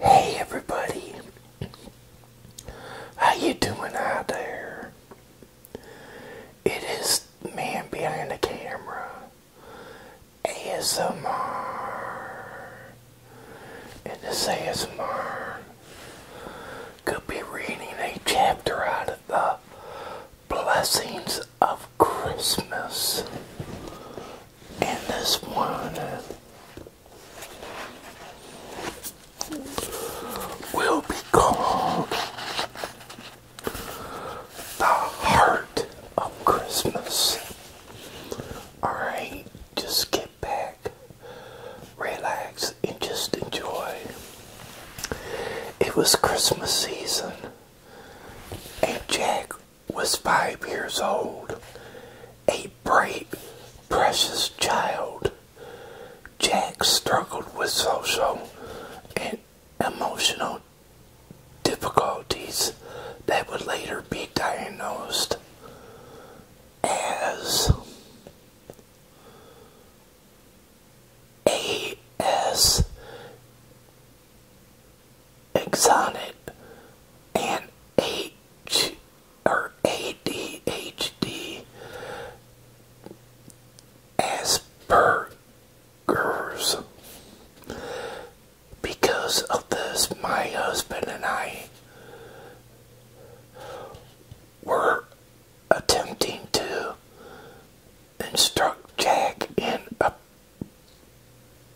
Hey everybody, how you doing out there? It is man behind the camera, ASMR, and this ASMR could be reading a chapter out of the Blessings of Christmas. And this one will be called The Heart of Christmas. Alright, just get back, relax, and just enjoy. It was Christmas season, and Jack was five years old, a bright, precious child. Jack struggled with social and emotional difficulties that would later be diagnosed as ASD exonic and H or ADHD Asperger's. Because of this, my husband and I were attempting to instruct Jack in a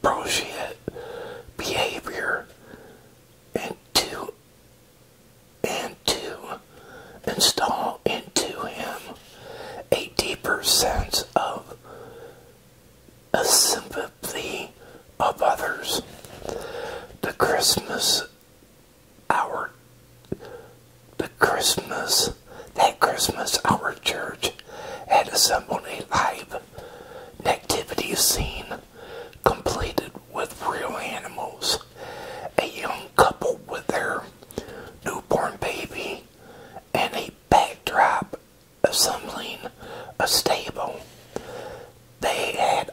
bullshit behavior into and to install into him a deeper sense of a sympathy of others. The Christmas hour the Christmas, that Christmas, our church had assembled a live nativity scene completed with real animals. A young couple with their newborn baby and a backdrop assembling a stable. They had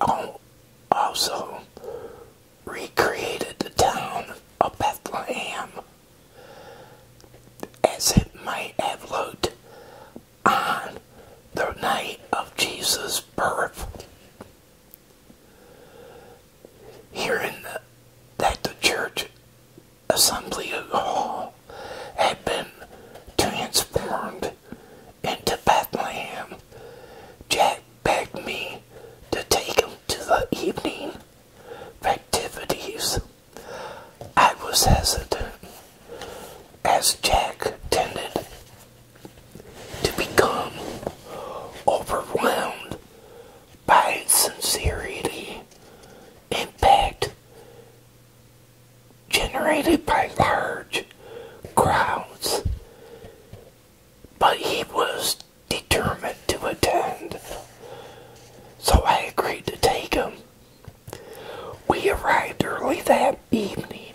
also recreated the town of Bethlehem as it might have looked on the night of Jesus' birth. Hearing the, that the church assembly hall had been transformed into Bethlehem, Jack begged me to take him to the evening activities, I was hesitant as Jack tended to become overwhelmed by sincerity, impact generated by large crowds, but he was determined to attend, so I agreed to take him. We arrived early that evening,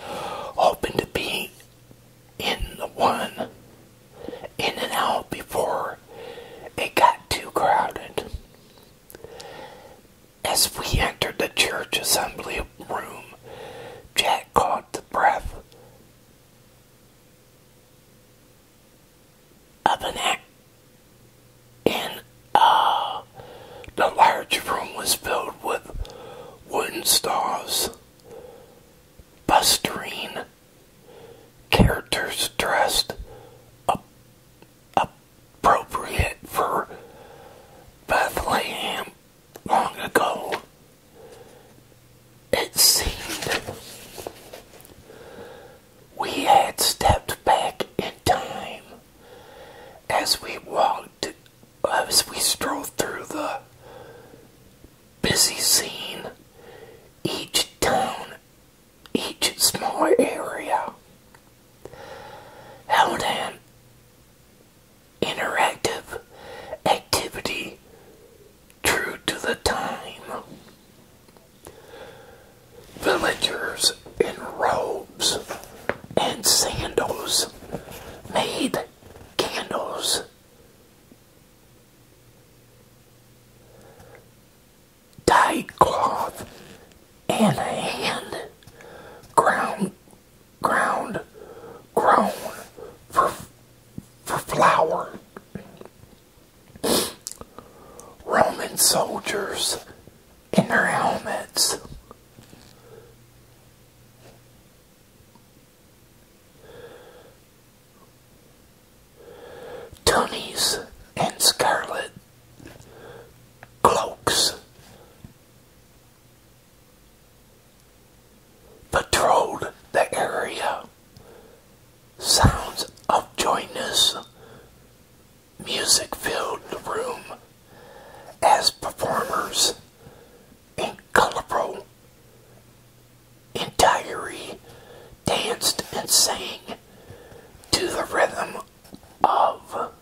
hoping to be in the one in and out before it got too crowded. As we entered the church assembly room, Jack caught the breath up an act and uh, the large room was filled with wooden stalls bustering characters dressed appropriate for Bethlehem long ago, it seemed we had stepped back in time as we walked, as we strolled through the busy scene, each town, each small area. Held hand interactive activity true to the time. Villagers in robes and sandals made candles. Dyed cloth and a hand ground ground grown for, for flour. Roman soldiers in their helmets. Tunnies and scarlet cloaks patrolled the area. Sounds of joyous music filled the room as performers in colorful entirely danced and sang to the rhythm of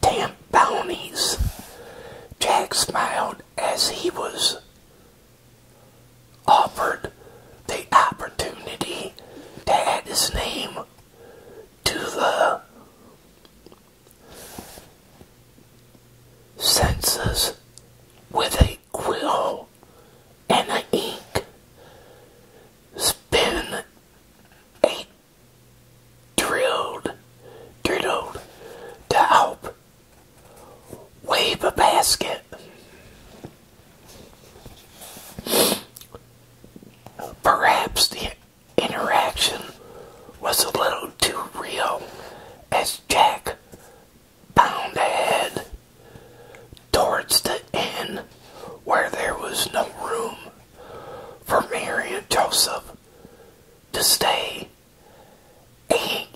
Damn bounties! Jack smiled as he was offered the opportunity to add his name to the census with a quill and an ink spin ain't drilled, drilled to help wave a basket. Perhaps the interaction was a little too real as Jack bound ahead towards the end where there was no room for Mary and Joseph to stay. He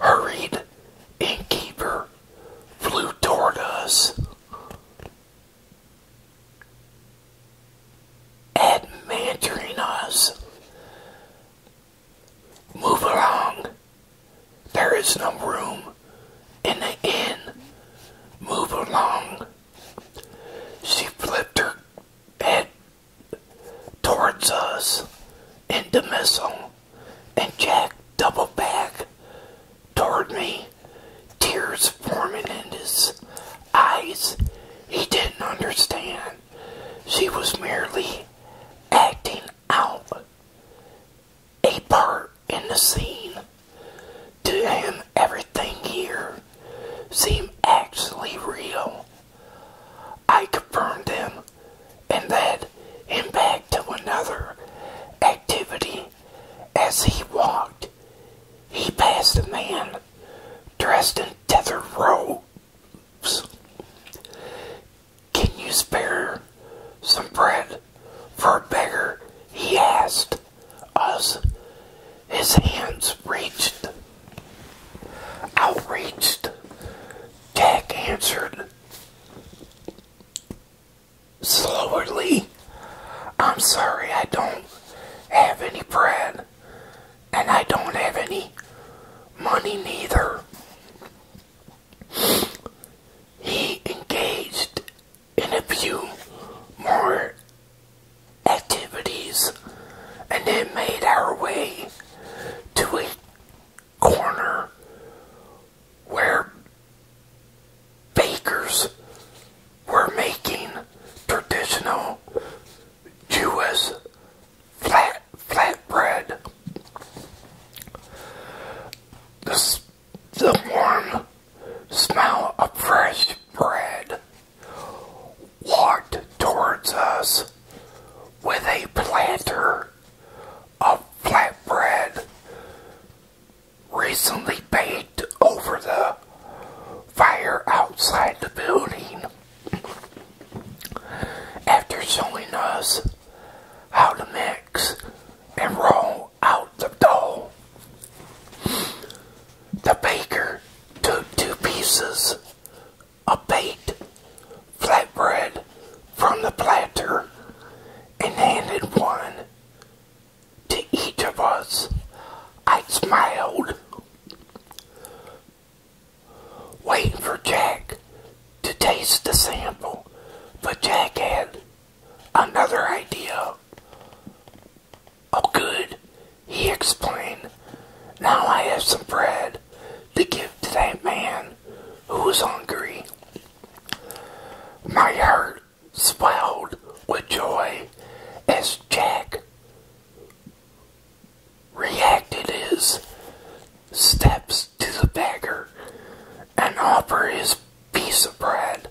hurried innkeeper flew toward us. Admonishing us Move along. There is no room in the inn. Move along. She flipped her head towards us in the missile, and Jack doubled back toward me, tears forming in his eyes. He didn't understand. She was merely acting out a part in the scene. To him, everything here seemed actually real. I confirmed him and then, him back to another activity. As he walked, he passed a man dressed in tattered robes. Can you spare some bread for a beggar? He asked As His hands reached, outreached. Jack answered slowly, I'm sorry, I don't have any bread, and I don't have any money neither. He engaged in a few more activities and then made our way to a corner where bakers were making traditional Jewish flat flatbread. The, the warm smell of fresh bread walked towards us with a planter of flatbread recently baked over the fire outside the building after showing us how to mix and roll out the dough. The baker took two pieces of baked flatbread from the platter and handed one to each of us. I smiled waiting for Jack to taste the sample, but Jack had another idea. Oh, good, he explained. Now I have some bread to give to that man who is hungry. My heart swelled with joy as Jack reacted his steps to the beggar and offered his piece of bread.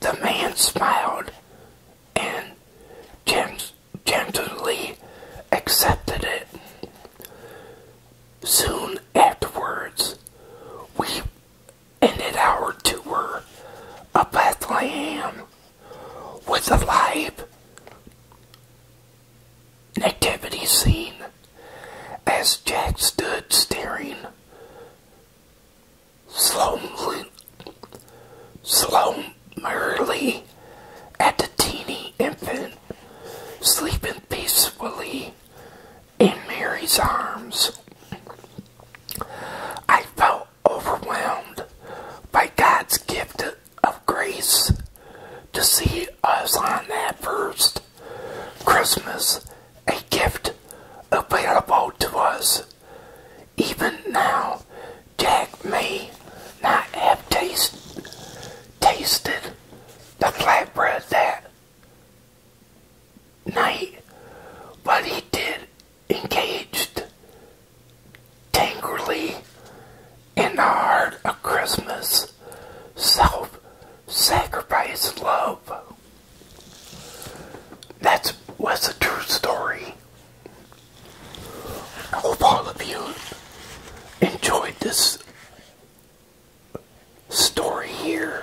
The man smiled and gently accepted it. Soon afterwards, we ended our tour of Bethlehem with a live nativity scene as Jack stood staring slowly, slowly at the teeny infant sleeping peacefully in Mary's arms. I felt overwhelmed by God's gift of grace to see us on that first Christmas, a gift available to us. Even now, Jack may not have taste, tasted the flatbread that night, but he did engaged tangrily in the heart of Christmas self sacrifice love. That's was a true story. I hope all of you enjoyed this story here.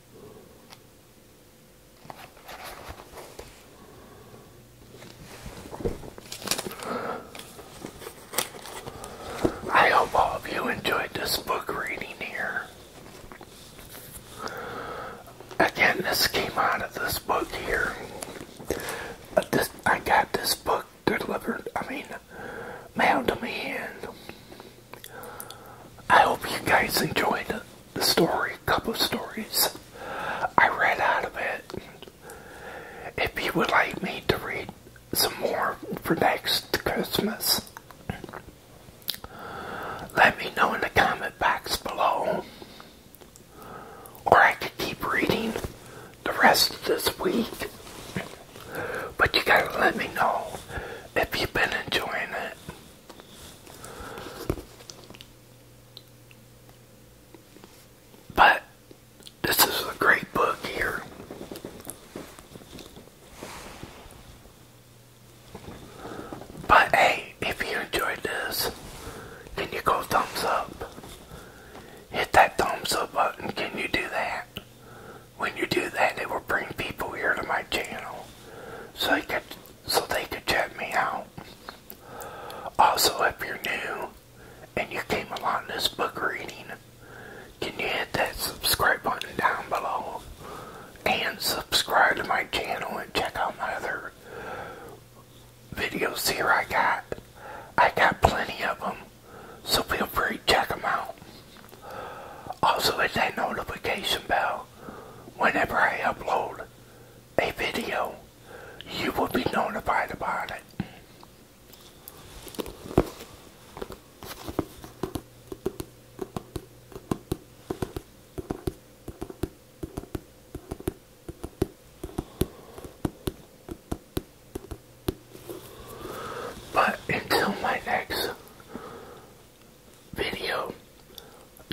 I hope all of you enjoyed this book reading here. Again, this came out of this book here. Uh, this, I got this book delivered, I mean, mailed to me, and I hope you guys enjoyed the, story, a couple stories I read out of it. If you would like me to read some more for next Christmas, let me know in the comment box below. Or I could keep reading the rest of this week. But you gotta let me know if you've been enjoying it. But this is a great book here. But hey, if you enjoyed this, can you go thumbs up? Hit that thumbs up button. Can you do that? when you do that, it will bring people here to my channel, so they could check me out. Also, if you're new and you came along this book reading, can you hit that subscribe button down below and subscribe to my channel and check out my other videos here I got. I got plenty of them, so feel free to check them out. Also hit that notification bell whenever I upload a video. You will be notified about it. But until my next video,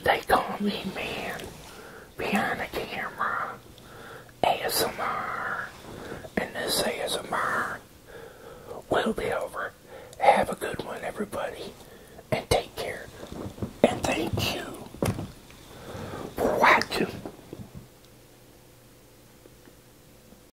they call me man behind the camera, ASMR, and this ASMR will be over. Have a good one, everybody, and take care. And thank you for watching.